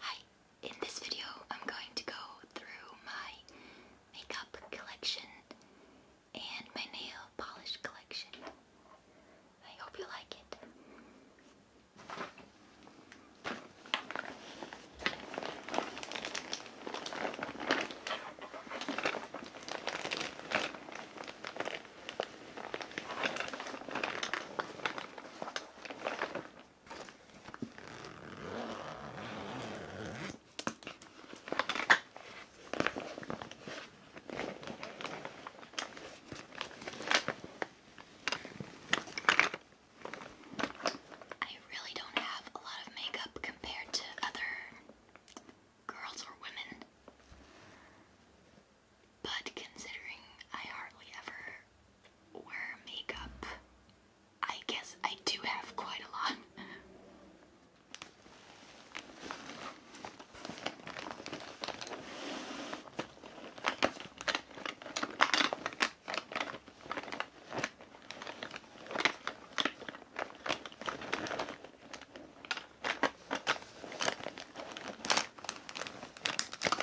Hi, in this video I'm going to go through my makeup collection and my nail polish collection. I hope you like it. I really don't have a lot of makeup compared to other girls or women. But considering I hardly ever wear makeup, I guess I do have quite a lot.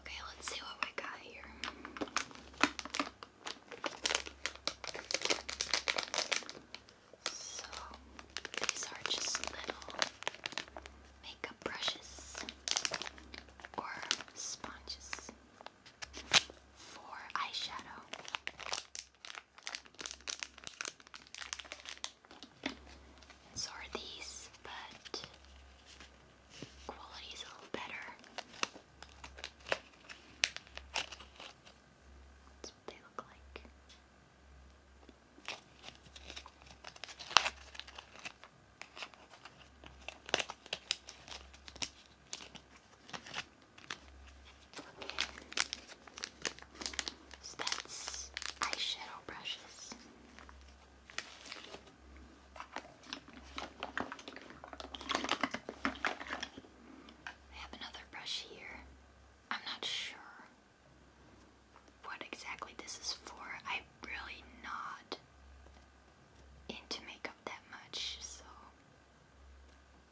Okay, let's see what we got here. So, these are just little makeup brushes or sponges for eyeshadow. so are these, but quality is a little better. That's what they look like. So eyeshadow brushes. I have another brush here. I'm not sure what exactly this is for. I'm really not into makeup that much, so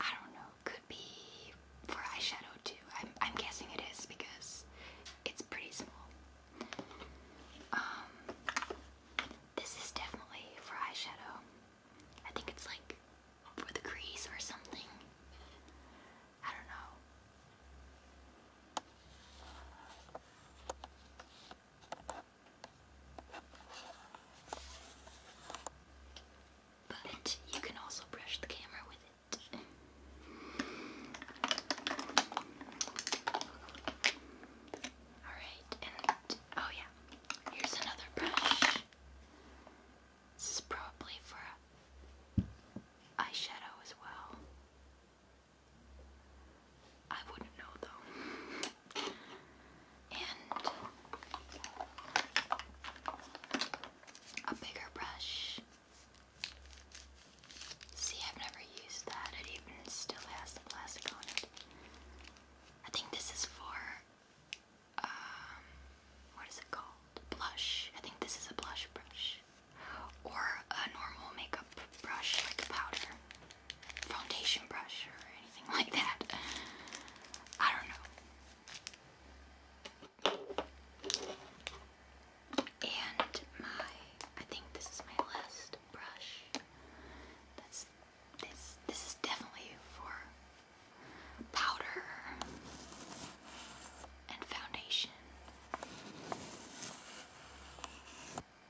I don't know. Could be for eyeshadow too. I'm, I'm guessing it is because it's pretty small. Um, this is definitely for eyeshadow. I think it's like for the crease or something. I don't know. But you can also brush the camera with it. Alright, and oh yeah, here's another brush. This is probably for eyeshadow as well. I wouldn't know though. And a bigger brush. See, I've never used that. It even still has plastic on it. I think this is for, um, what is it called? Blush. I think this is a blush brush or a normal makeup brush, like a powder, foundation brush, or anything like that. I don't know. And my, I think this is my last brush. That's this. This is definitely for powder and foundation.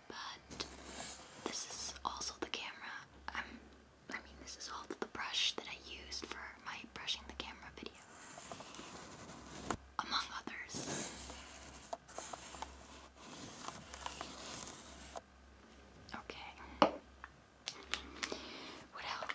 But this is also the camera. Um, I mean, this is also the brush that I used for my brushing the camera video, among others. Okay. What else?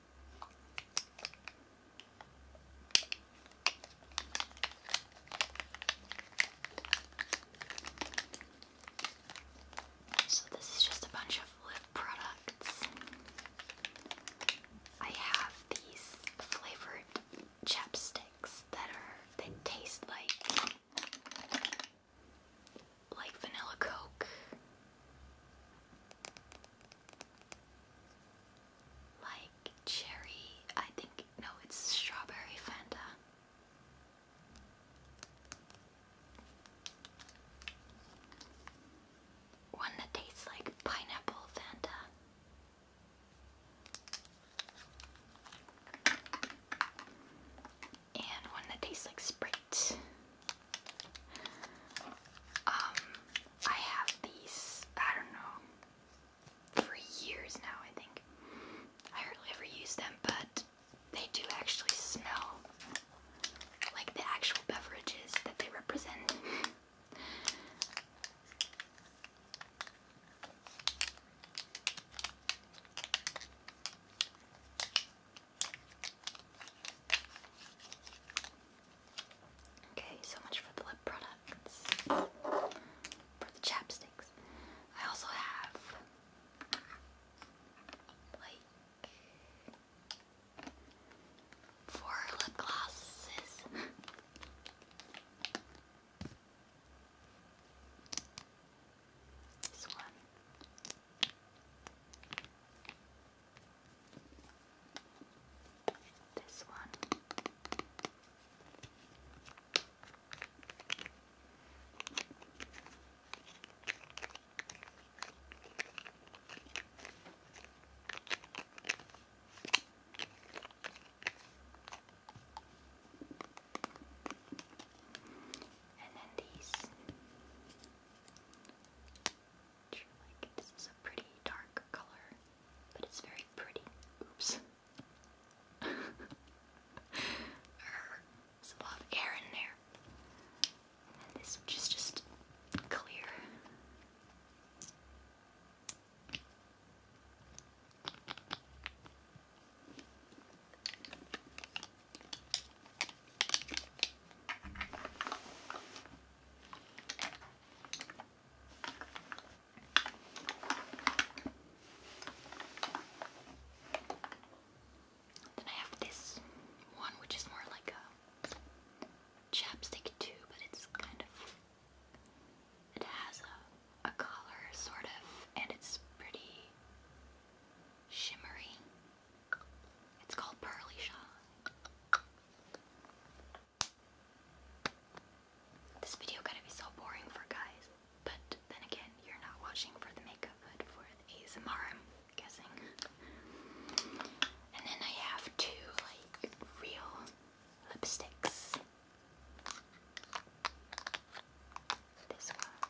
So, this is just a bunch of lip products. I have these flavored chapsticks that are, they taste like like vanilla coke, like cherry, I think, no, it's strawberry Fanta. One that tastes like pineapple Fanta and one that tastes like Sprite. Um, I have these, I don't know, for years now, I think. I hardly ever use them, but they do actually smell like the actual beverages that they represent. Okay, so much for the lip products. For the chapsticks. I also have like four lip glosses. this one. This one. And then these. Which, like, this is a pretty dark color, but it's very pretty. Oops. There's a lot of air in there. And this which is just clear. Then I have this one, which is more like a chapstick too, but it's kind of it has a a color sort of, and it's pretty shimmery. It's called Pearly Shaw. This video gotta be so boring for guys, but then again, you're not watching for the makeup, but for ASMR, guessing. And then I have two, like, real lipsticks. This one.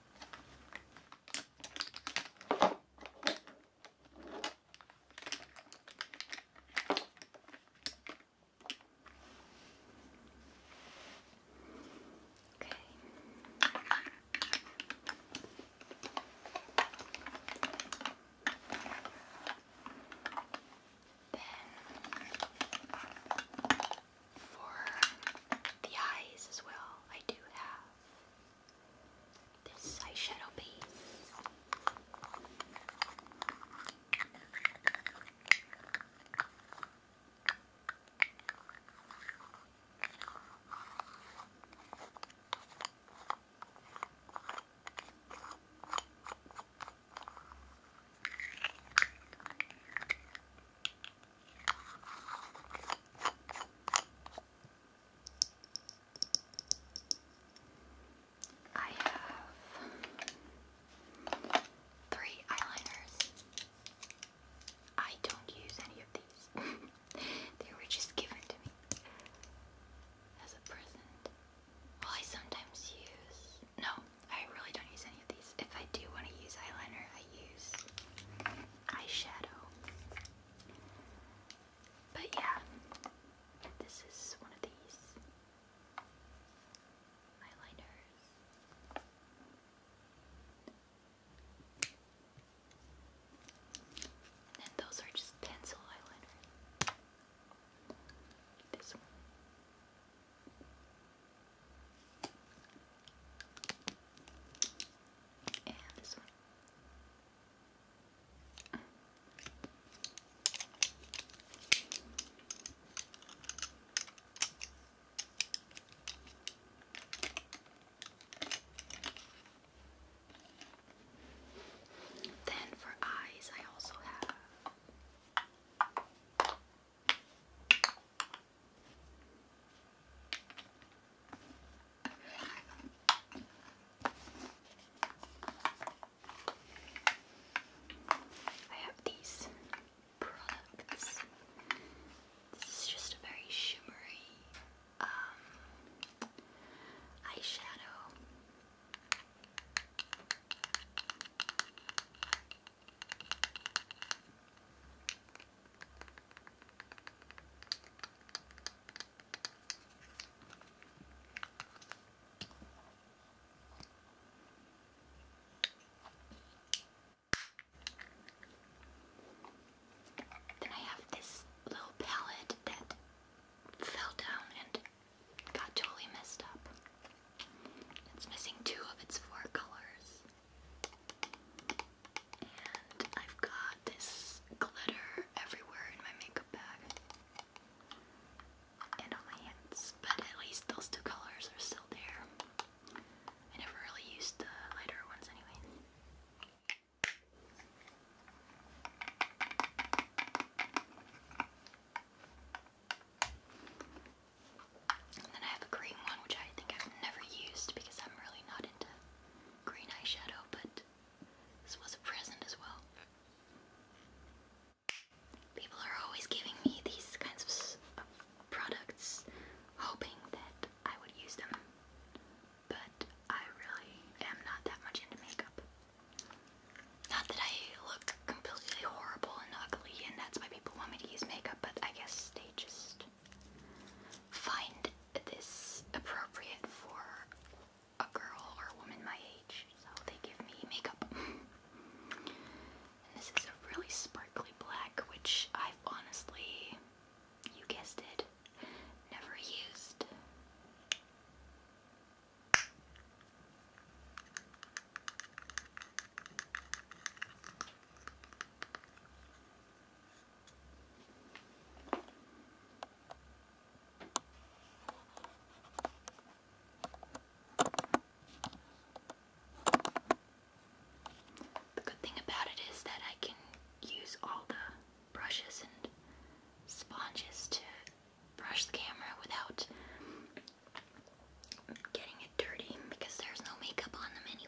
Okay. Then for the eyes as well, I do have this eyeshadow piece. I have three eyeliners. I don't use any of these. they were just given to me as a present. Well, I sometimes use. No, I really don't use any of these. If I do want to use eyeliner, I use eyeshadow. But yeah, this is one of these eyeliners. And those are just pencil eyeliner. This one. And this one. Then for eyes, I also have I have these products. This just a very shimmery um, eyeshadow. Then I have this little palette that fell down and got totally messed up. It's missing two of its four colors. And I've got this glitter everywhere in my makeup bag and on my hands, but at least those two colors are still there. I never really used the lighter ones anyway. And then I have a green one, which I think I've never used because I'm really not into green eyeshadow, but this was a present as well. People are always giving me these kinds of uh, products, hoping that I would use them, but I really am not that much into makeup. Not that I look completely horrible and ugly, and that's why people want me to use makeup, but I guess they just find this appropriate for a girl or a woman my age, so they give me makeup. and this is a really sparkly black, which i honestly, you guessed it, never used. The good thing about it is that I can use all the brushes and sponges to brush the camera without I'm getting it dirty because there's no makeup on them anyways.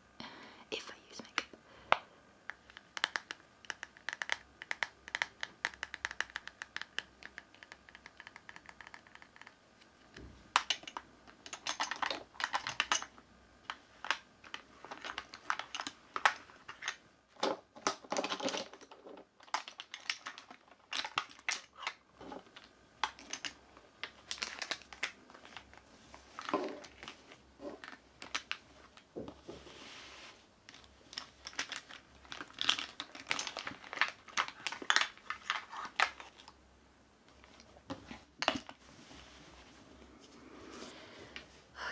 if I use makeup.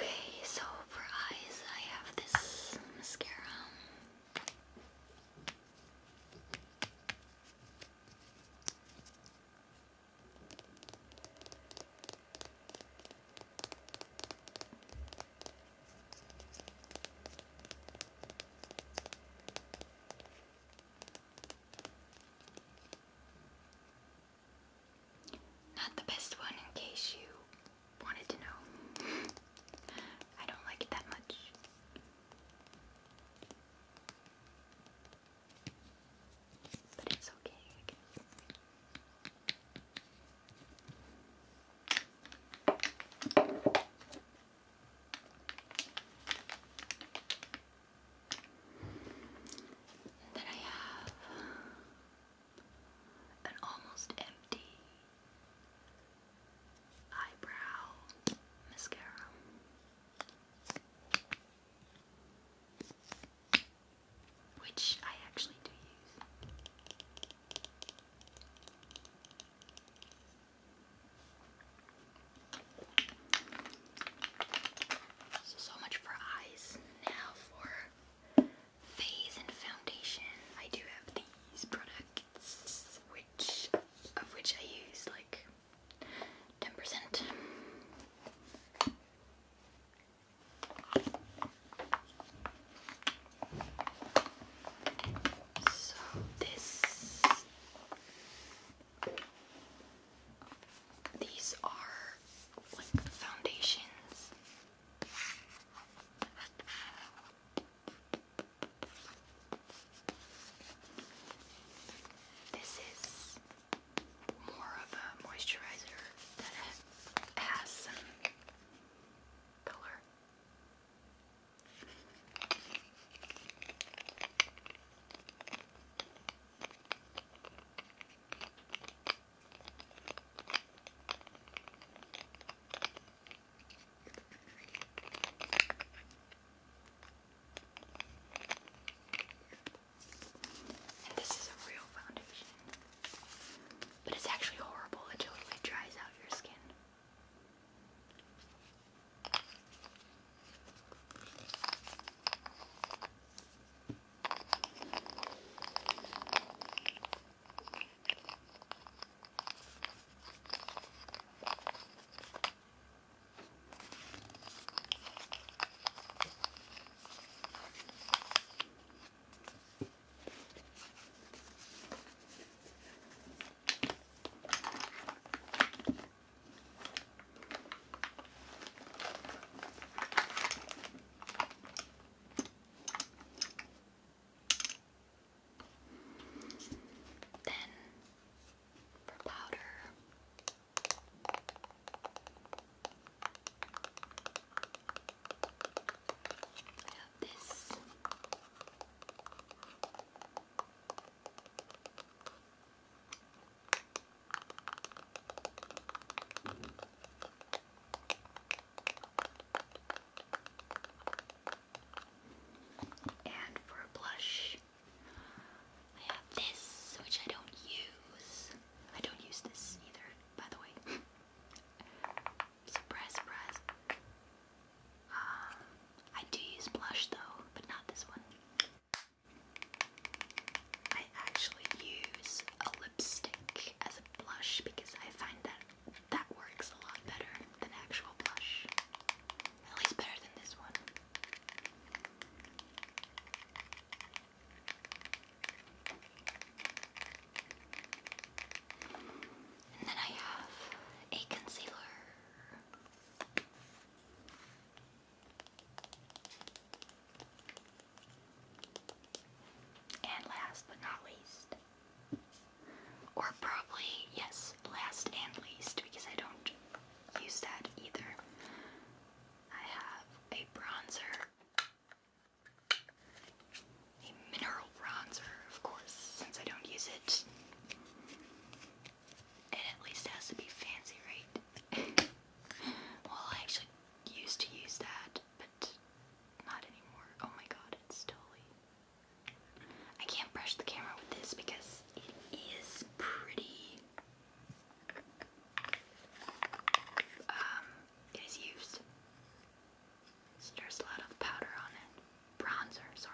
Okay, so for eyes, I have this mascara. Not the best one in case you wanted to know. I don't like it that much. But it's okay, then I have an almost empty eyebrow mascara which I actually do use. So, much for eyes. Now for face and foundation. I do have these products, which of which I use like ten percent. So this these are like foundations. This is more of a moisturizer that has some color. And this is a real foundation. But it's actually horrible. It totally dries out your skin. Then for powder, I have this. And for a blush, I have this, which I don't use. I don't use this either, by the way. surprise, surprise. Um, I do use blush though, but not this one. I actually use a lipstick as a blush because I find that that works a lot better than actual blush. At least better than this one. And then I have a concealer. And last but not least, or probably, yes, last and least, because I don't use that either. I have a bronzer, a mineral bronzer, of course, since I don't use it. It at least has to be fancy, right? well, I actually used to use that, but not anymore. Oh my god, it's totally I can't brush the camera with this because it is pretty. Um, it is used. there's a lot of powder on it. Bronzer, sorry.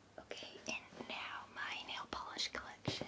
Okay, and now my nail polish collection.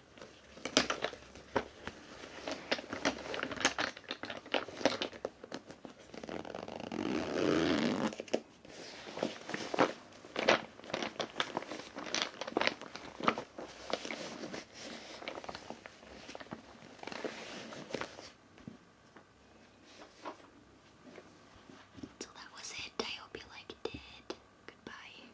So that was it. I hope you liked it. Goodbye.